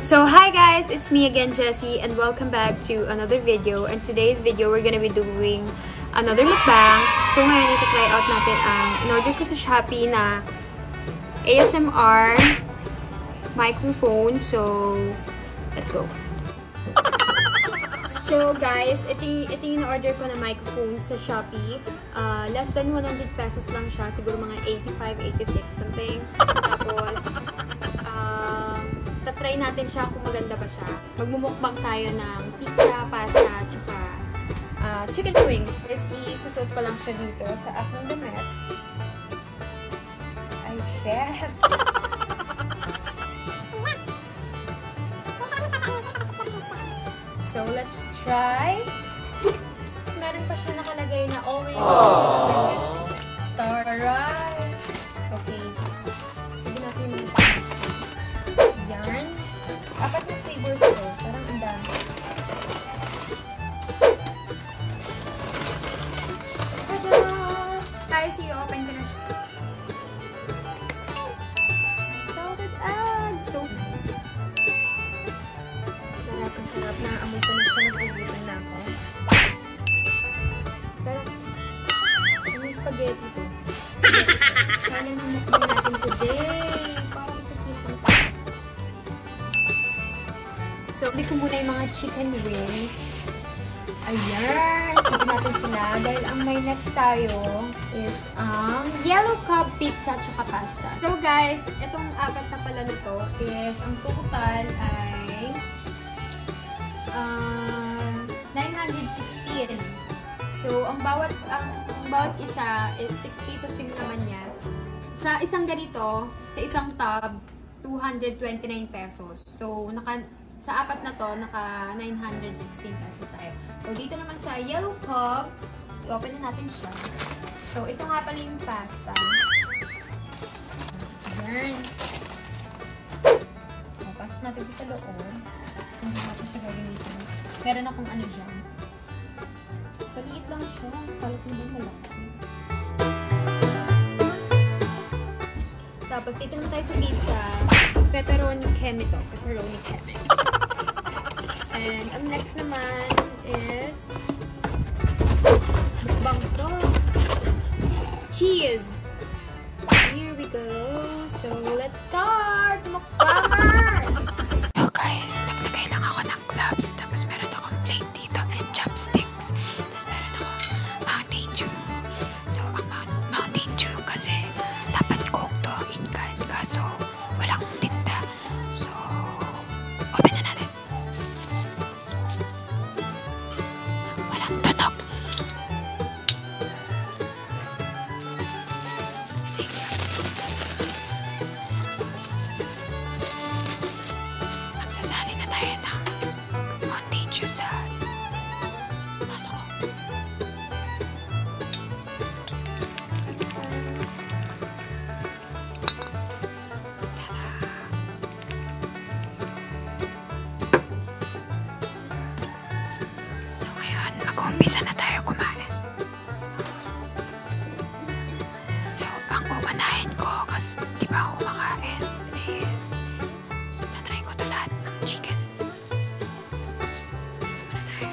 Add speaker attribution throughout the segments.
Speaker 1: So hi guys, it's me again Jessie and welcome back to another video. And today's video we're gonna be doing another mukbang. So ngayon ito try out natin ang in-order ko sa Shopee na ASMR microphone. So let's go. So guys, ito, ito yung in-order ko na microphone sa Shopee. Uh, less than 100 pesos lang siya. Siguro mga 85, 86 something. Tapos, uh, tatry natin siya kung maganda ba siya. Magmumukbang tayo ng pizza, pasta, tsaka uh, chicken wings. Is isusot ko lang siya dito sa aking damit. Ay, shit! So, let's try. Tapos meron pa siya nakalagay na always. Aww. Alright. Okay. Sige natin yung Yan. Apat na flavors to. Parang ang dami. Tadas! Guys, i-open ko na siya. Salted egg! So nice. Sarap ang sarap na amoy ko na siya nagugutan na ako. Pero, ano yung spaghetti ko? Sana nang mukbang natin today. Parang pagkipang sa So, ulit ko muna yung mga chicken wings. Ayan! Tignan natin sila. Dahil ang may next tayo is um, yellow cup pizza tsaka pasta pasta. So guys, itong apat na pala nito is ang total ay uh, ah, 916. So ang bawat ang, ang bawat isa is 6 pesos yung naman niya. Sa isang ganito, sa isang tub, 229 pesos. So naka sa apat na to, naka 916 pesos tayo. So dito naman sa yellow cup, I-open na natin siya. So, ito nga pala yung pasta. Ayan. So, pasok natin sa loob. Hindi natin siya gagamitin. Meron akong ano dyan. Maliit lang siya. Palit na ba malaki? Tapos, dito na tayo sa pizza. Pepperoni keme to. Pepperoni keme. And, ang next naman is Yes. Mukbang to. Cheese. Here we go. So, let's start! Mukbangers! so oh, guys, naglagay lang ako ng gloves. Tapos meron
Speaker 2: akong plate dito and chopsticks. Tapos meron ako Mountain Dew. So, ang Mountain Dew kasi dapat coke to in can. Kaso, walang tinta. So, open na natin. Walang tunog. Magsasali na tayo ng contagious sa pasok ko. So ngayon, mag-umpisa na tayo kumain. So, ang uwanahin ko, kasi di ba ako kumakain, is tatry ko to lahat ng chickens. Muna tayo.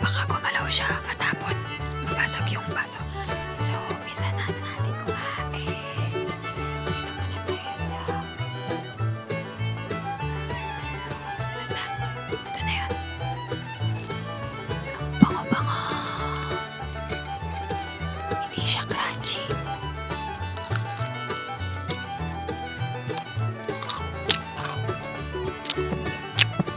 Speaker 2: Baka gumalaw siya matapon. Mapasok yung baso. So, umpisa na natin kumain. Dito muna tayo sa... So, basta. Ito na yun. Ang bango-bango. Hindi siya crunchy.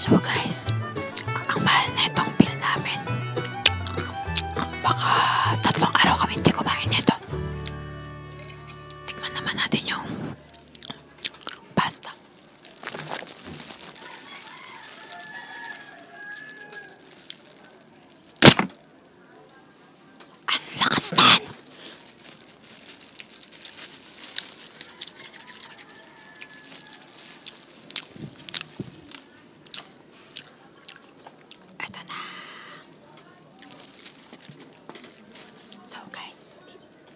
Speaker 2: So guys, ang mahal na itong bill namin. Baka tatlong araw kami hindi kumain nito. Tingnan naman natin yung pasta. Ang lakas nan! Ito na. So guys,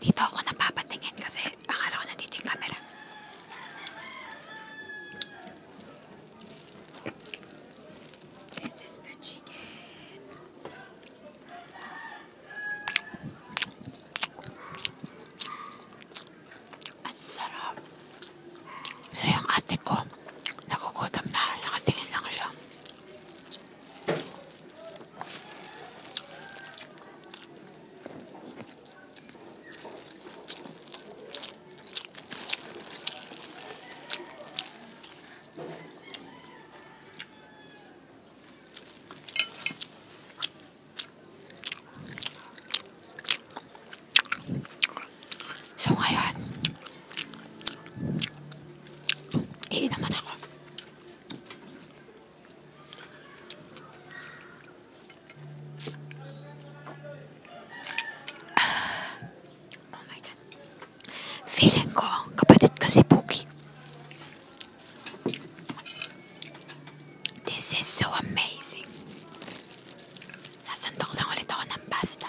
Speaker 2: dito ako napapatingin kasi akala ko nandito yung camera. This is the chicken. Ang sarap. Kaya ano yung ate ko, nagugutom na. Nakatingin lang siya. So ngayon, iin naman ako. Ah. Oh my God. Feeling ko, kapatid ko si Pookie. This is so amazing. Nasantok lang ulit ako ng pasta.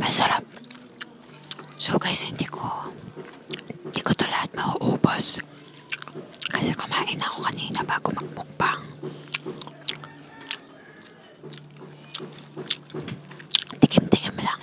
Speaker 2: Masarap. So guys, hindi ko hindi ko to lahat mauubos. Kasi kumain ako kanina bago magmukbang. Tikim-tikim lang.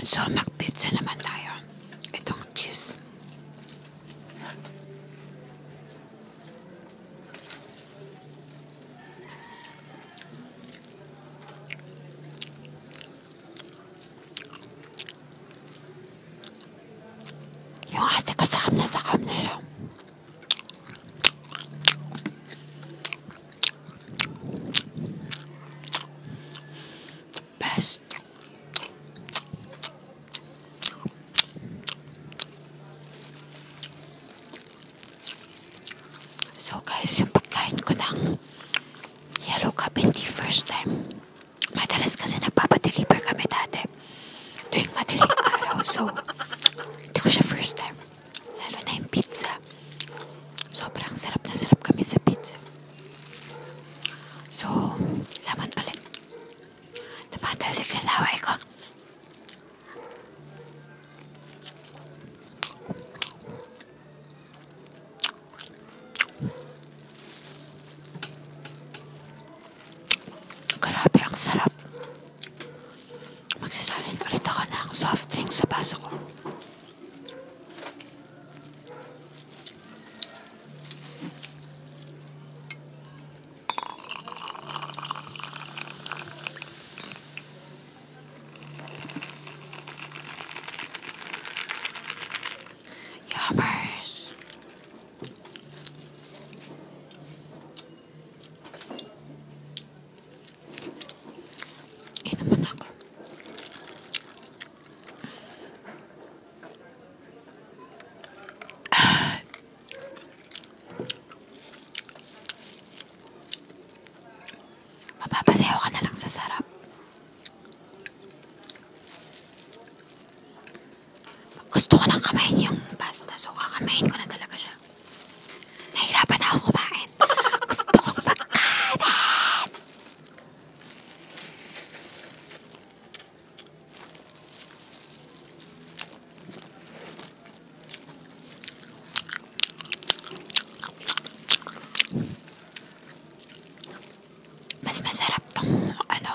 Speaker 2: So, mag-pizza naman tayo. Itong cheese. Yung ate ko takam na takam na yun. Best. So guys, yung pagkain ko ng yellow cup hindi first time. Madalas kasi nagpapadeliver kami dati tuwing madaling araw. So, hindi ko siya first time. Lalo na yung pizza. Sobrang sarap na sarap kami sa pizza. So, laman ulit. Tumatalsik na laway ko. Grabe, ang sarap. Magsasalit ulit ako ng soft drink sa baso ko. Yummers. Inuman ako. Ah. Mapapasayaw ka na lang sa sarap. Gusto ko lang kamayin yung pasta. So, kakamayin ko na talaga siya. Nahirapan ako kumain. Gusto ko magkanan! Mas masarap tong ano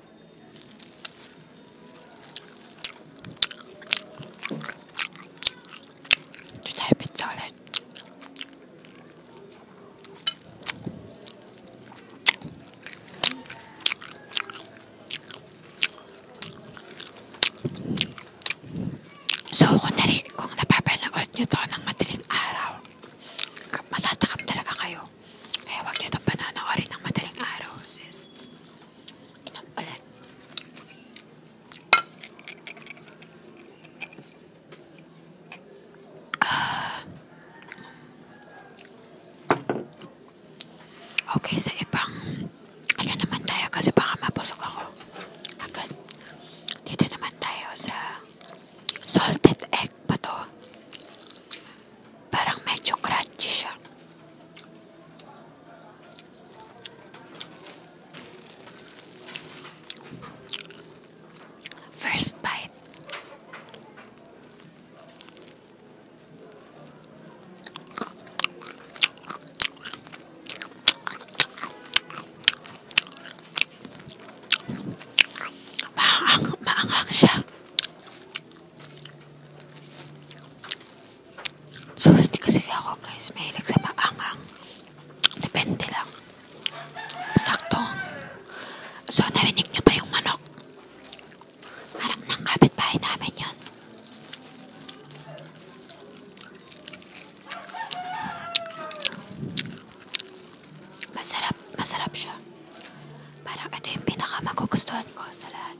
Speaker 2: Güzel bir tane. So, kung, nari, kung napapanood nyo to ng madaling araw, matatakam talaga kayo. Kaya huwag nyo itong pananoorin ng madaling araw, sis. Inom ulit. Uh, ah. okay, sa ibang ano naman tayo kasi baka mapusok ako agad. Dito naman tayo sa salted egg pa to. Parang medyo crunchy siya. First bite. Maanghang, maanghang siya. So, hindi kasi ako guys, mahilig sa maangang. Depende lang. Sakto. So, narinig nyo ba yung manok? Parang ng kapitbahay namin yun. Masarap, masarap siya. Parang ito yung pinakamagugustuhan ko sa lahat.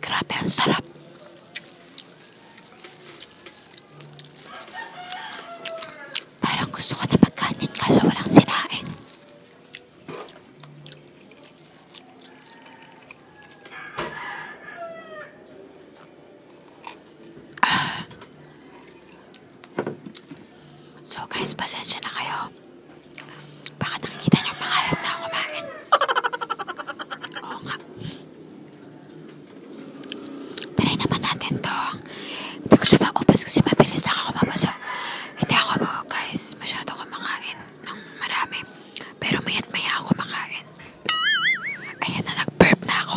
Speaker 2: Grabe, ang sarap. Parang gusto ko na magkanin kaso walang sinain. Ah. So guys, pasensya na kayo. Baka nakikita niyo pangalat na ako kumain. Oo nga. Try naman natin to. Hindi ko siya maubos kasi mabilis lang ako mabasag. Hindi ako guys, masyado kumakain ng marami. Pero maya't maya ako kumakain. Ayan na, nag-burp na ako.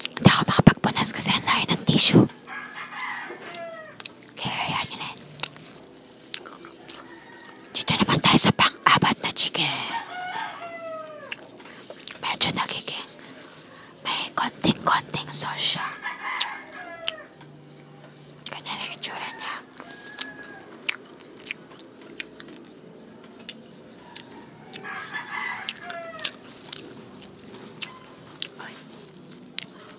Speaker 2: Hindi ako makapagpunas kasi ang layo ng tissue. Kaya hayaan nyo na yan. Eh. Dito naman tayo sa pang-apat na chicken. Medyo nagiging may konting-konting sauce siya. Ganyan ang itsura niya. Ой,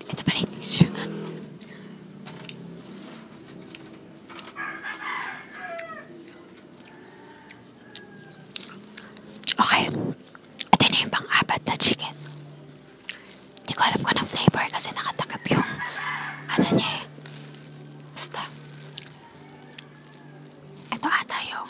Speaker 2: это варенье еще. Okay. Ito na yung pang-apat na chicken. Hindi ko alam kung anong flavor kasi nakatakap yung ano niya eh. Basta. Ito ata yung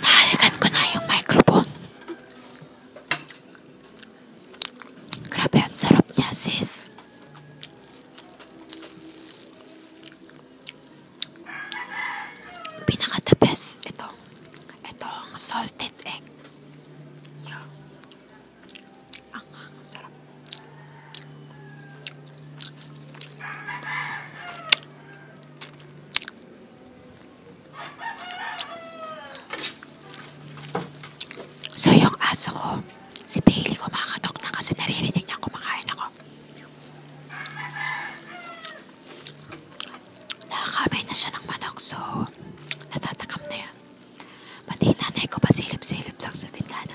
Speaker 2: Nahalikan ko na yung microphone. Grabe, ang sarap niya, sis. Pinaka the best, ito. Itong salted egg. Ang, ang sarap. So, yung aso ko, si Bailey kumakatok na kasi naririnig niya kumakain ako. Nakakamay na siya ng manok, so natatakam na yun. Pati nanay ko pa silip-silip lang sa bintana.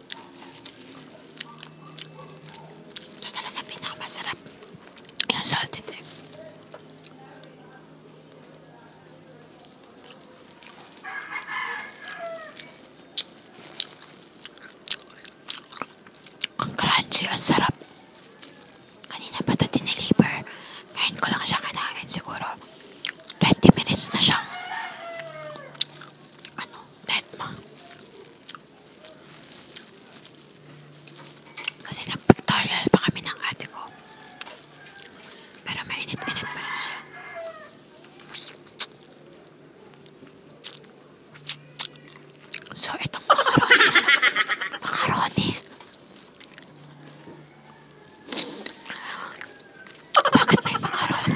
Speaker 2: Ito talaga pinakamasarap. Yung salted egg. Ang crunchy, ang sarap. Kanina pa ito diniliver. Ngayon ko lang siya kinain siguro. 20 minutes na siyang ano, dead ma. Kasi nagpag-toilet pa kami ng ate ko. Pero mainit-init pa rin siya. So, itong macaroni. macaroni. Bakit may macaroni?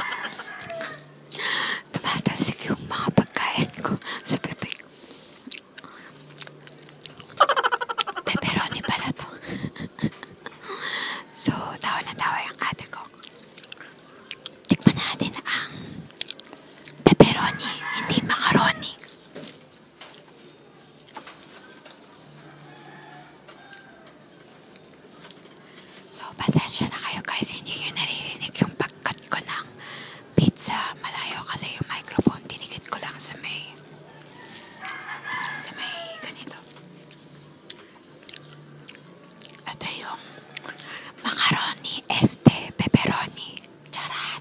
Speaker 2: Tumatalsik yung mga pagkain ko sa bibig. Pepperoni pala to. so, tawa na tawa yung ate ko. Tikman natin ang pepperoni, hindi macaroni. So, pasensya na kayo guys. Hindi nyo naririnig yung pagkat ko ng pizza. Malayo kasi yung microphone. Dinikit ko lang sa may sa may ganito. Ito yung macaroni este pepperoni. Charat!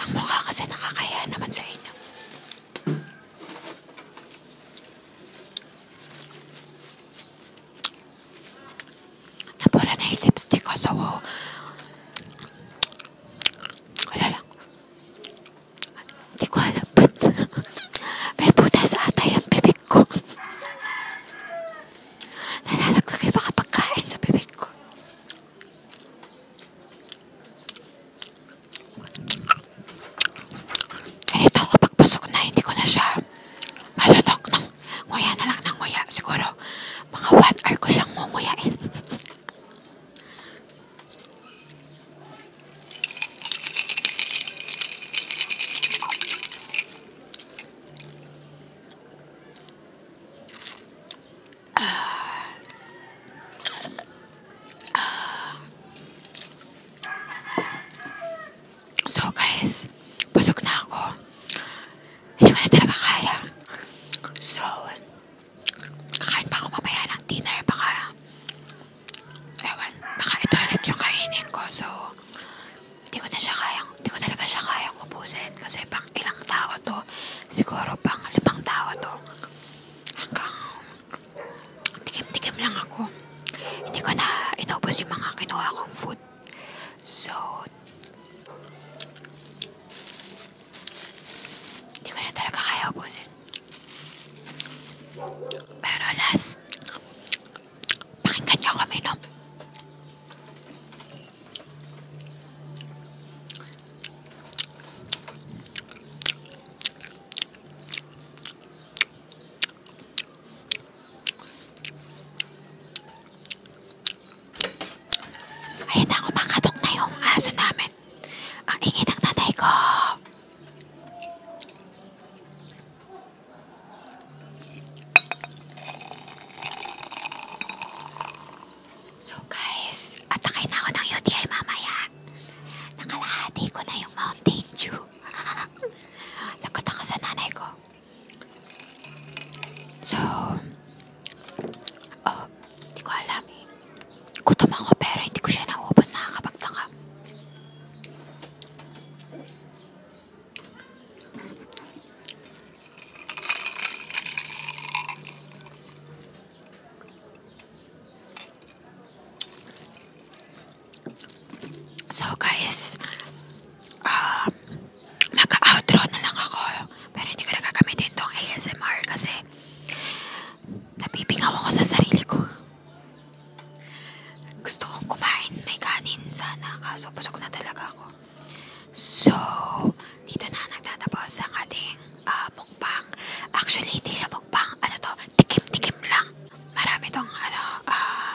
Speaker 2: Ang mukha kasi nakakaya naman sa inyo. Napura na yung lipstick ko, so wala lang. Hindi ko alam ba't may butas atay ang bibig ko. Nalalaglag yung mga pagkain sa bibig ko. Eh, ito kapag pasok na, hindi ko na siya malutok ng nguya na lang ng nguya. Siguro, mga 1 hour ko siyang ngunguyain. So guys, busog na ako. Hindi ko na talaga kaya. So, kakain pa ako mamaya ng dinner. Baka, ewan, baka ito ulit yung kainin ko. So, hindi ko na siya kayang, hindi ko talaga siya kayang ubusin. Kasi pang ilang tao ko to. Siguro pang limang tawa to. Hanggang tikim-tikim lang ako. Hindi ko na inubos yung mga kinuha kong food. So, hindi ko na talaga kaya ubusin. Pero last, pakinggan niyo kami, no? Ayun ako makatok na yung aso namin. Ang ingin ng nanay ko. So guys, atakay na ako ng UTI mamaya. Nakalahati ko na yung Mountain Dew. Lagot ako sa nanay ko. So, oh, hindi ko alam eh. Gutom ako pero hindi ko siya nauubos nakakapagtaka. So guys, um, ah, mag-outro na lang ako. Pero hindi ko nagagamitin tong ASMR kasi napipingaw ako sa sarili ko. Gusto kong kumain. May kanin sana. Kaso busog na talaga ako. So, dito na nagtatapos ang ating uh, mukbang. Actually, hindi siya mukbang. Ano to? Tikim-tikim lang. Marami tong ano, ah...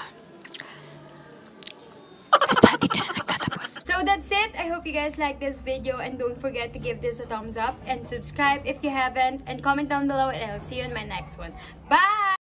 Speaker 1: Uh, basta, dito na nagtatapos. So that's it. I hope you guys like this video and don't forget to give this a thumbs up and subscribe if you haven't and comment down below and I'll see you in my next one. Bye!